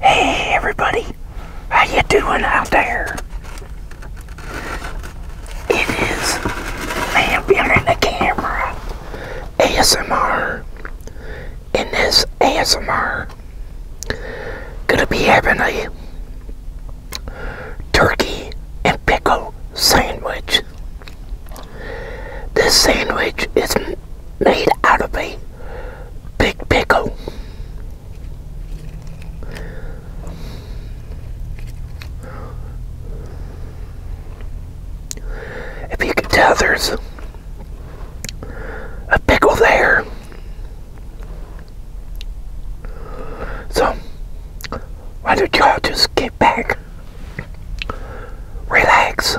Hey everybody, how you doing out there? It is man behind the camera ASMR. In this ASMR, gonna be having a turkey and pickle sandwich. This sandwich is made out of a big pickle. If you can tell, there's a pickle there. So, why don't you just get back, relax,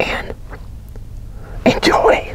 and enjoy.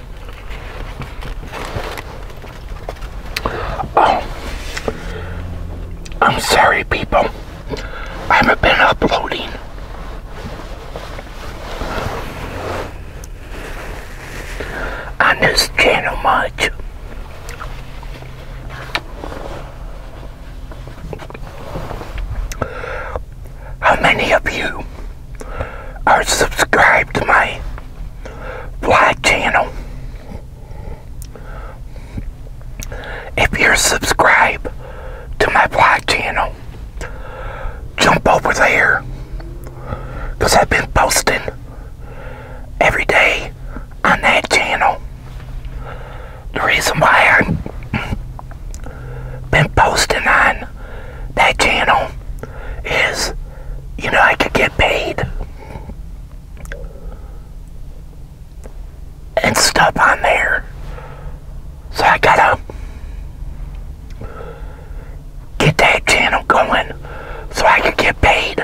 Oh, I'm sorry, people. I haven't been uploading. on this channel much how many of you are subscribed to my vlog channel. If you're subscribed to my vlog channel, jump over there because I've been posting every day on that channel. The reason why i been posting on that channel is, you know, I could get paid and stuff on there. So I gotta get that channel going so I could get paid.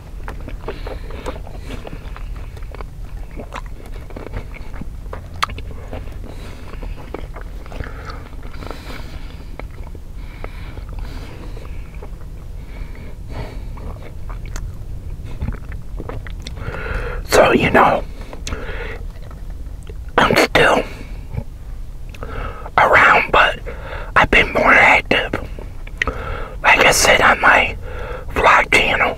So, you know, I'm still around, but I've been more active. Like I said on my vlog channel.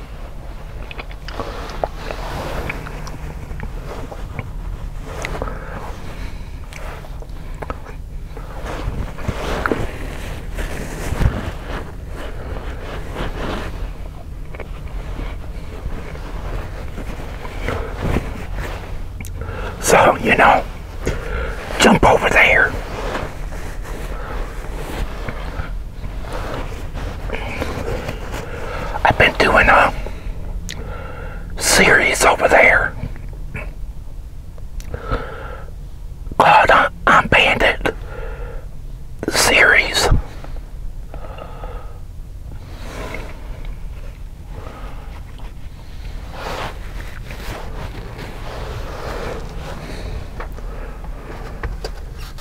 So, you know, jump over there. I've been doing a series over there called uh, I'm Bandit series.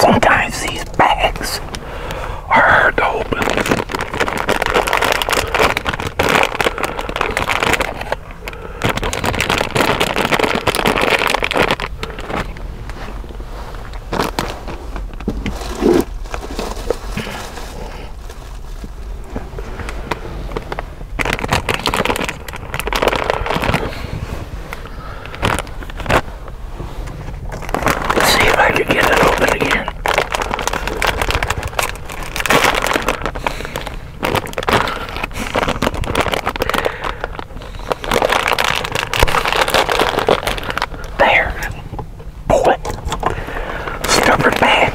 Sometimes these bags are hard to open. Let's see if I can get it open again. There boy, stubborn man.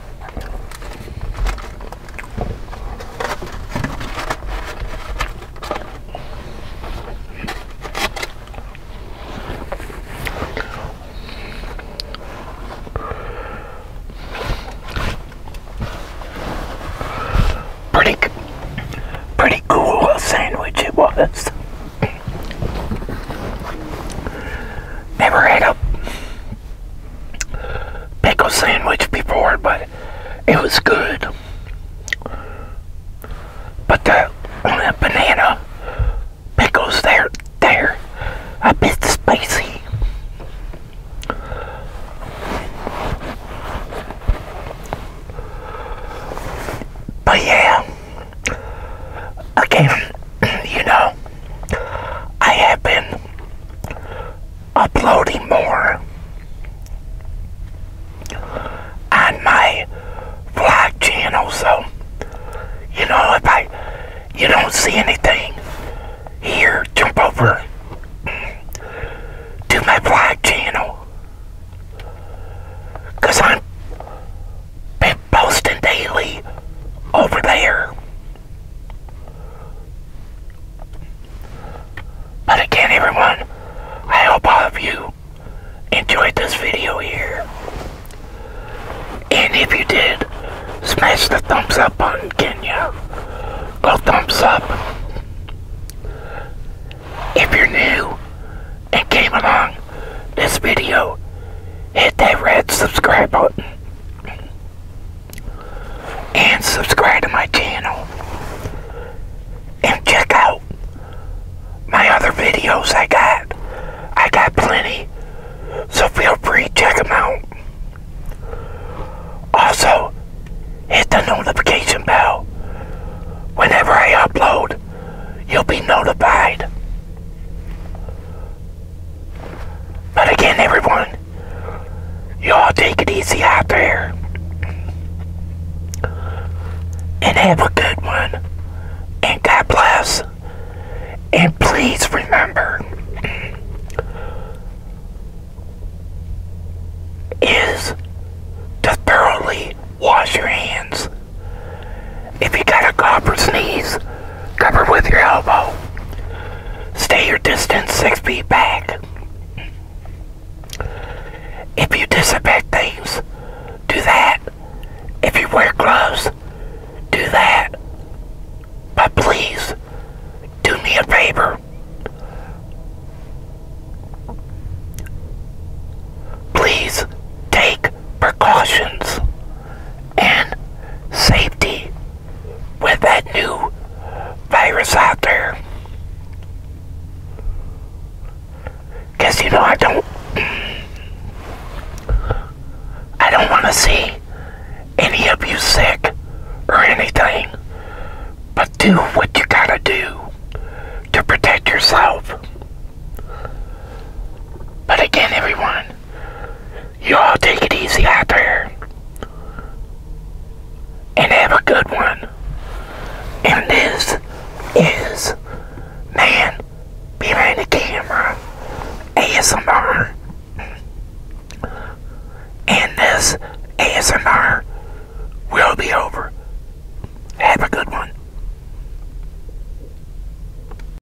Pretty, pretty cool sandwich it was. Never had a pickle sandwich before, but it was good. But the, banana pickles there, there, a bit spicy. But yeah. Again, you know, I have been uploading more on my vlog channel, so you know if I you don't see anything here, jump over to my vlog channel. Cause I'm posting daily over there. But again, everyone, I hope all of you enjoyed this video here. And if you did, smash the thumbs up button, can you? Go thumbs up. If you're new and came along this video, hit that red subscribe button and subscribe to my channel and check out my other videos I got. I got plenty, so feel free check them out. Also, hit the notification bell. Whenever I upload, you'll be notified. But again, everyone, y'all take it easy out there. And have a good one. And God bless. And please remember is to thoroughly wash your hands if you got a cough or sneeze, cover with your elbow. Stay your distance six feet back. If you disinfect things, do that. If you wear gloves, do that. But please, do me a favor. Please take precautions and safety with that new virus out there. Cause you know I don't I don't wanna see any of you sick or anything. But do what you gotta do to protect yourself. But again everyone you all take it easy out there. And have a good one. And this is Man Behind the Camera ASMR. And this ASMR will be over. Have a good one.